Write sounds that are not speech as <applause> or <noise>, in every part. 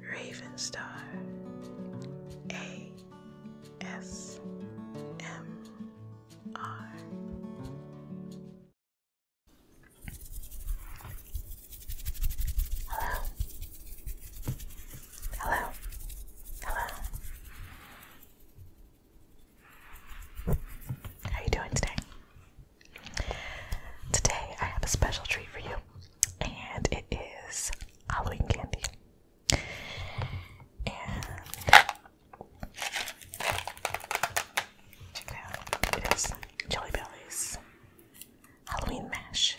Ravenstar A S M R Hello Hello How are you doing today? Today I have a special treat for you, and it is Halloween candy. And check out, it is Jelly Bellies Halloween Mash.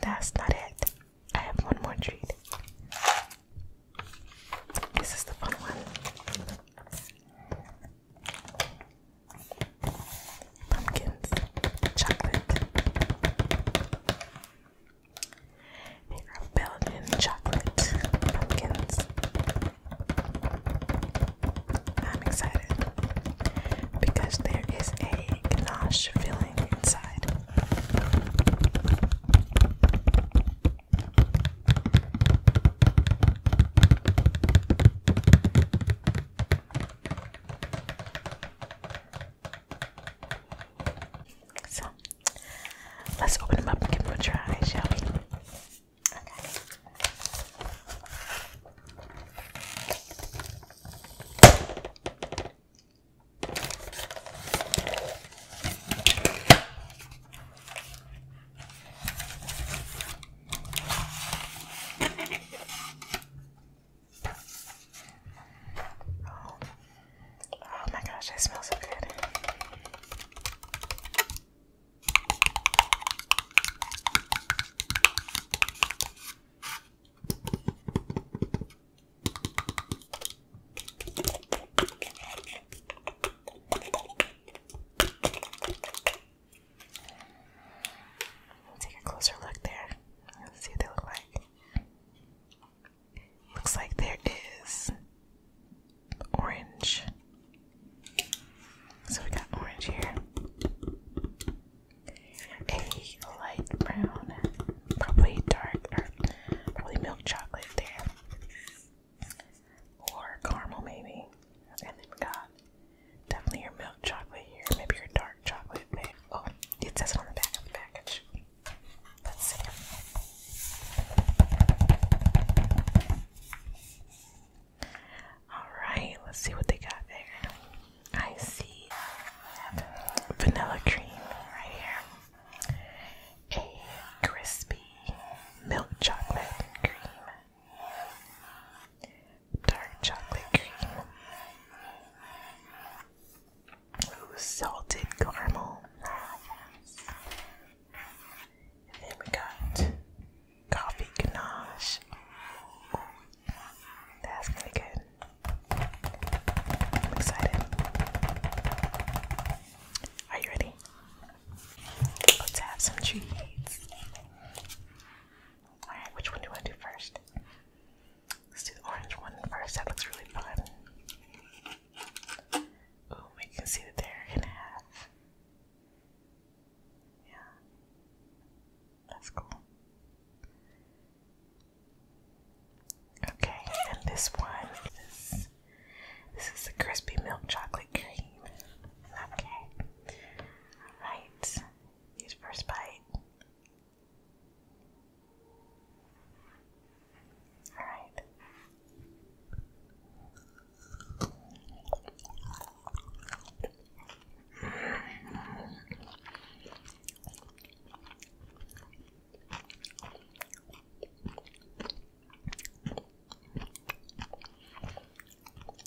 That's not it. I have one more treat. This is the fun one. Pumpkins, chocolate. They are Belgian chocolate pumpkins. I'm excited because there is a ganache filling inside. So let's open them up and give them a try, shall we? Oh my gosh, that smells so good. Take a closer look there. Let's see what they look like. Looks like there is orange, so we got orange here, a light brown, probably dark or probably milk chocolate there, or caramel maybe, and then we got definitely your milk chocolate here, maybe your dark chocolate there. Oh, it says on the back of the package. Let's see. Alright, let's see what they got there. I see uh, vanilla cream right here, a crispy milk chocolate cream, dark chocolate cream. salted caramel. And then we got coffee ganache. Ooh, ooh. That's really good. I'm excited. Are you ready? Let's have some treats. Alright, which one do you do first? Let's do the orange one first. That looks really fun. Oh, we can see that they're in half. Yeah. That's cool. Okay, and this one is this is the crispy milk chocolate cream. Okay. Alright. first bite. Alright.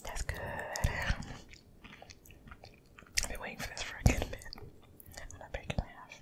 That's good. I've been waiting for this for a good bit. I'm half.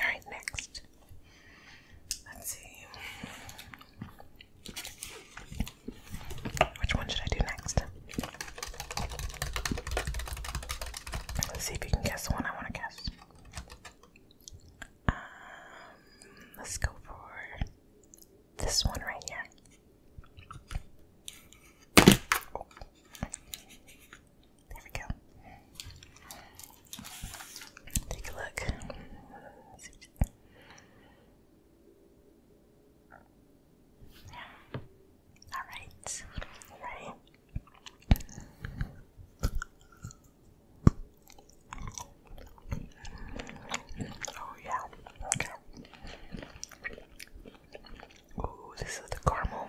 All right, next. Let's see. Which one should I do next? Let's see if you can guess the one I want to guess. Um, let's go for this one right here. Oh. There we go. Take a look. All right. All right. Oh yeah. Okay. Ooh, this is the caramel.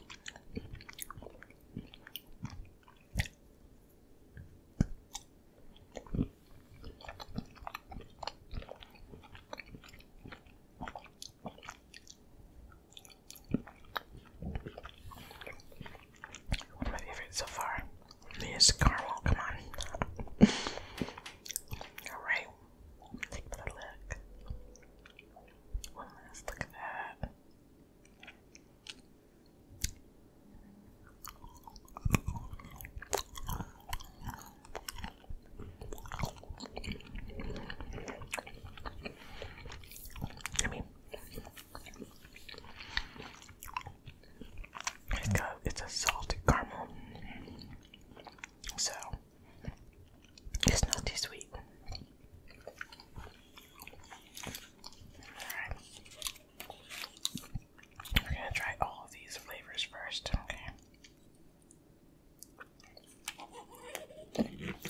One of my favorites so far is caramel. Come on. <laughs> All right. Take another look. One last look at that. I mean, it's it's a salted caramel, so it's not too sweet. We're gonna try all of these flavors first, okay?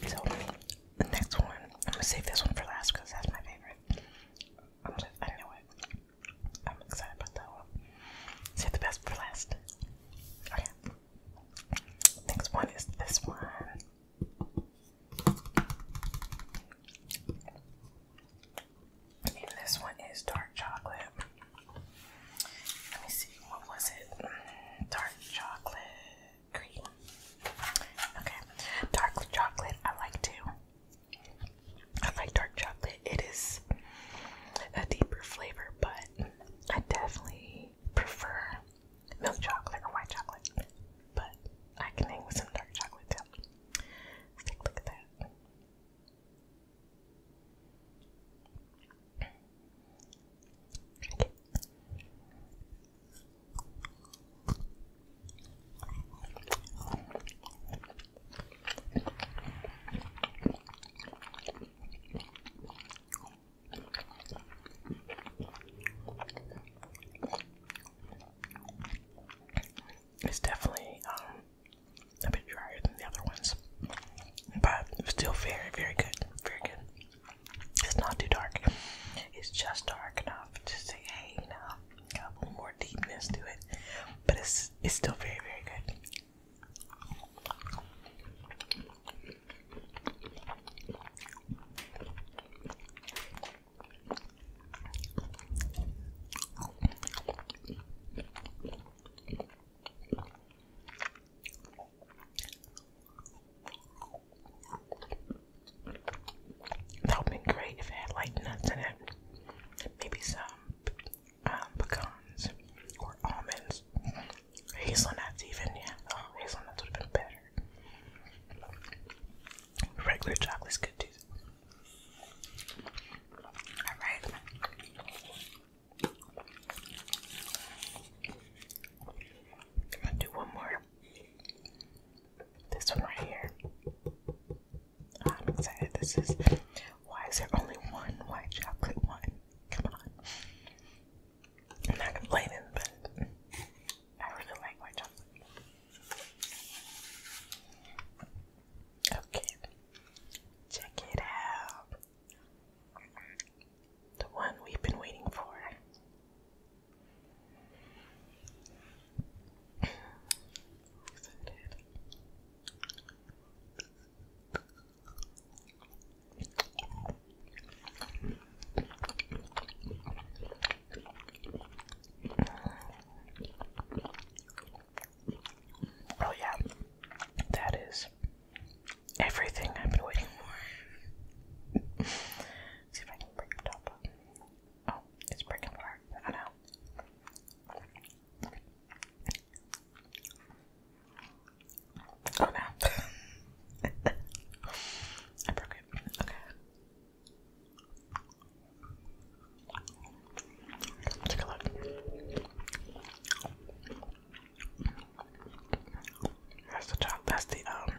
So, the next one, I'm gonna save this one for last because that's my favorite. I'm just, I know it. I'm excited about that one. Save the best for last. Okay. Next one is this one. And this one is dark chocolate. Let me see, what was it? Dark chocolate cream. Okay, dark chocolate I like too. I like dark chocolate. It is a deeper flavor, but I definitely prefer milk chocolate or white chocolate, but I can hang with some dark chocolate too. look at that. It's definitely um, a bit drier than the other ones, but still very, very good. Very good. It's not too dark. It's just dark enough to say, hey, you know, got a little more deepness to it, but it's it's still very, very good. That would have been great if it had like nuts in it. Maybe some um, pecans or almonds. Hazelnuts even, yeah. Oh, hazelnuts would have been better. Regular chocolate's good too. Alright. I'm gonna do one more. This one right here. I'm excited. This is why is there only one white chocolate one? Come on. I'm not complaining, but I really like white chocolate. Okay, check it out. The one we've been waiting for. Oh, yeah, that is everything I've been waiting for. <laughs> see if I can break the up. Oh, it's breaking apart. I know. Oh no. <laughs> I broke it. Okay. take a look. That's the top. That's the um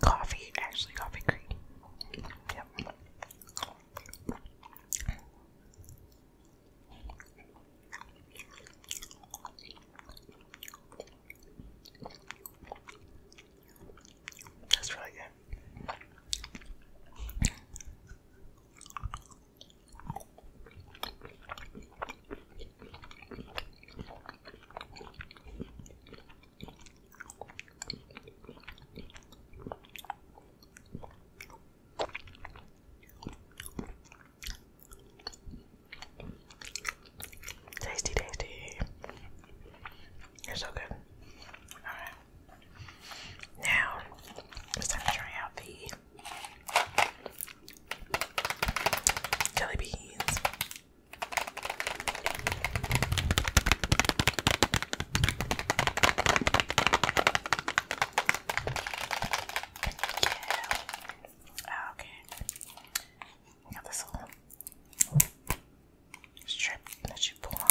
coffee. Actually, coffee cream. Yep. That's really good. Tasty, tasty. You're so good. Alright. Now, it's time to try out the jelly beans. Oh, okay. Now this little strip that you pull off.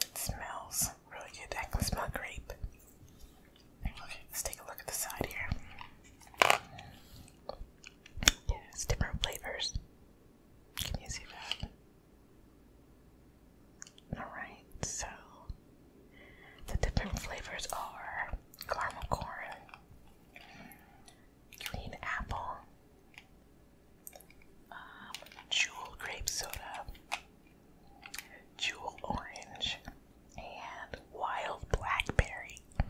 It smells really good. I can smell grape. Okay, let's take a look at the side here. Yeah, different flavors. Can you see that? Alright, so the different flavors are caramel corn, green apple, um, jewel grape soda, jewel orange, and wild blackberry. I'm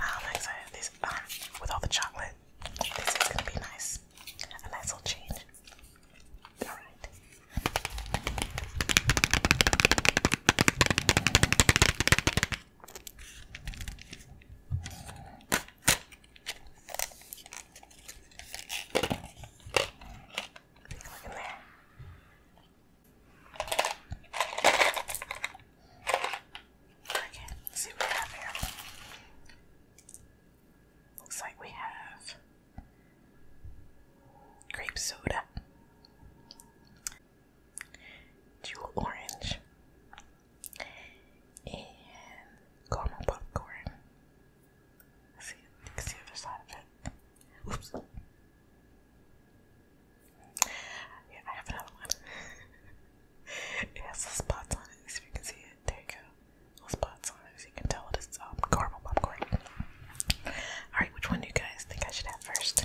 um, excited. This, um, with all the chocolate, this is gonna be nice. A nice little change. All right. Take let's see what we have here. Looks like we have grape soda, jewel orange, and caramel popcorn. See, see the side of it. Oops. Yeah, I have another one. <laughs> it has little spots on it, see if you can see it. There you go. Little spots on it, so you can tell it is um, caramel popcorn. Alright, which one do you guys think I should have first?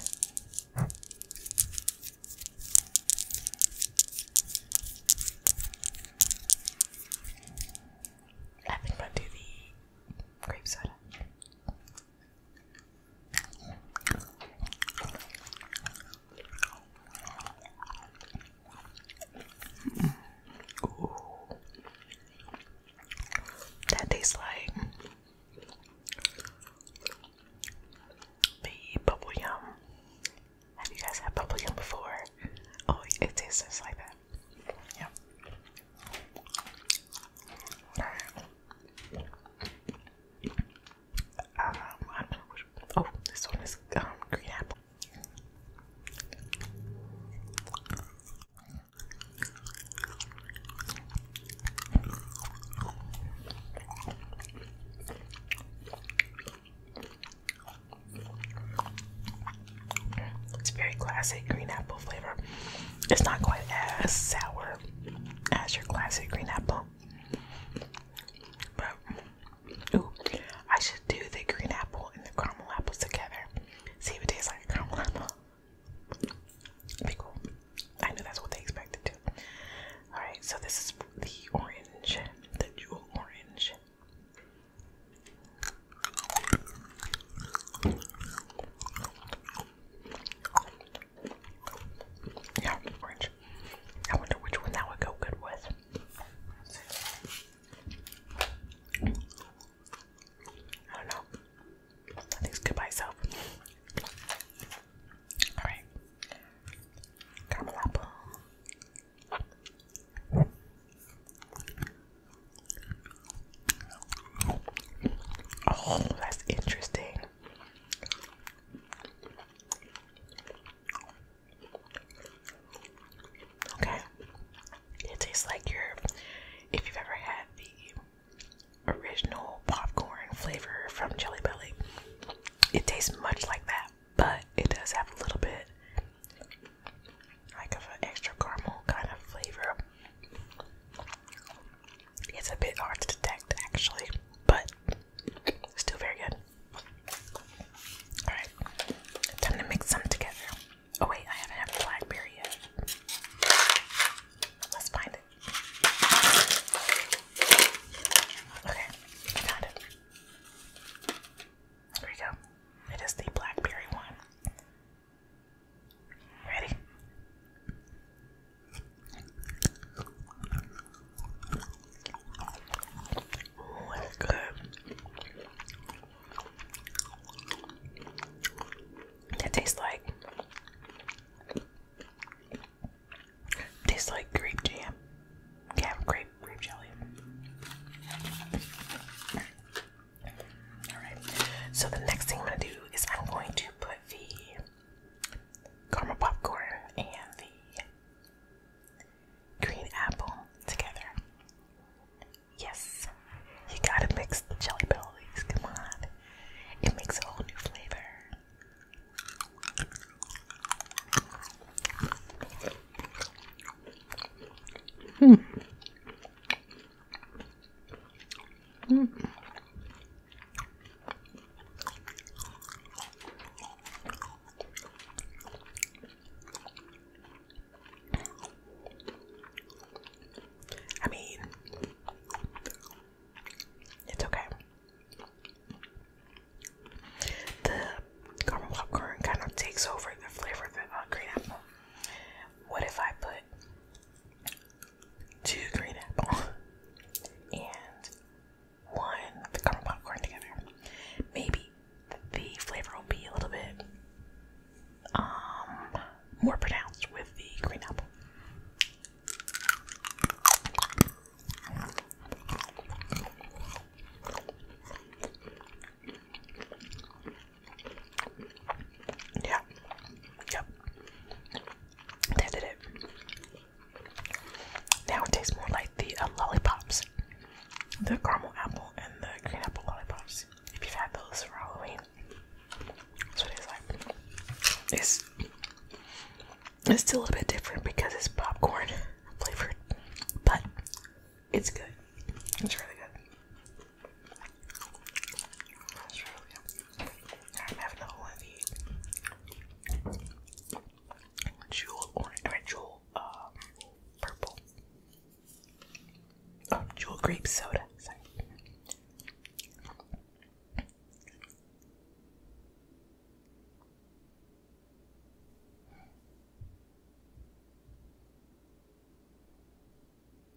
I think I'll do the grape soda. That tastes like the bubble yum. Have you guys had bubble yum before? Oh, it tastes just like that. Yep. oh, um, this one is um, green apple. It's very classic green apple flavor. It's not quite as sour as your classic green apple. But ooh, I should do the green apple and the caramel apples together. See if it tastes like a caramel apple. Be cool. I knew that's what they expected to. Alright, so this is the orange, the jewel orange. Yeah, orange. I wonder which one that would go good with. I don't know. I think it's good by itself. Alright. Caramel apple. Oh, that's interesting. Okay. It tastes like your if you've ever had the original popcorn flavor from Jelly Belly. It tastes much like that, but it does have a little bit like of an extra caramel kind of flavor. It's a bit hard to detect actually, but still very good. Alright, time to mix them together. Oh wait, I haven't had blackberry yet. Let's find it. Okay, I found it. There we go. It is the blackberry one. Ready? Oh, good. That tastes like tastes like grape jam. Yeah, grape grape jelly. Alright, so the next thing I'm going to do is I'm going to put the caramel popcorn and the green apple together. Yes, you gotta mix the jelly bellies, come on. It makes a whole new flavor. Hmm. Hmm. I mean, it's okay caramel popcorn kind of takes over the flavor of the uh, green apple. What if I put two green apple <laughs> and one the caramel popcorn together? Maybe the flavor will be a little bit um more pronounced with the green apple. Yeah. Yep. That did it. Now it tastes more like the um, lollipops. The caramel apple and the green apple lollipops. If you've had those for Halloween. That's it's like. It's it's still a little bit different because it's popcorn <laughs> flavored, but it's good. It's really good. I'm gonna have of the jewel orange or jewel um purple. Oh, jewel grape soda. Sorry.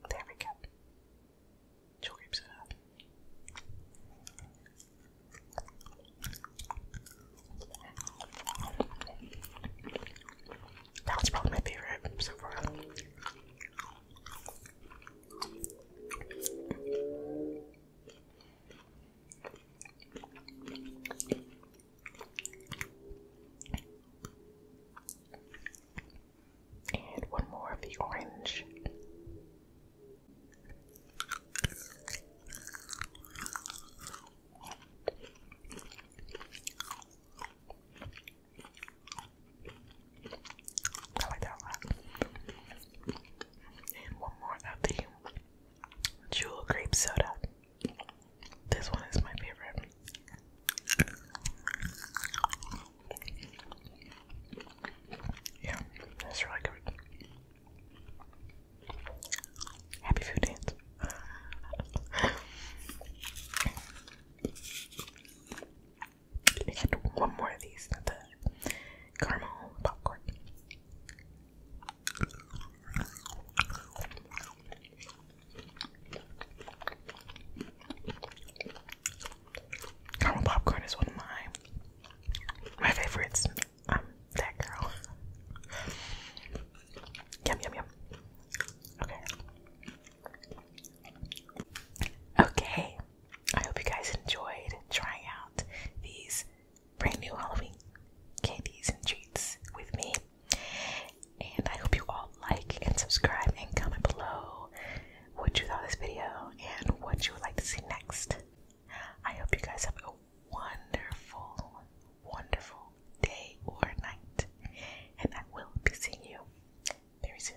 There we go. Scoops That was probably my favorite so far. And one more of the orange. I like that a And one more of the jewel grape soda. This one is my favorite. Yeah, that's really good. Happy food dance. I should do one more of these, the caramel popcorn. Caramel popcorn is one of my my favorites. Um, <laughs> yum yum yum. Okay. Okay. I hope you guys enjoyed trying out these brand new Halloween candies and treats with me. And I hope you all like and subscribe and comment below what you thought this video and what you would like to see next. I hope you guys have a wonderful, wonderful day or night. And I will be seeing you very soon.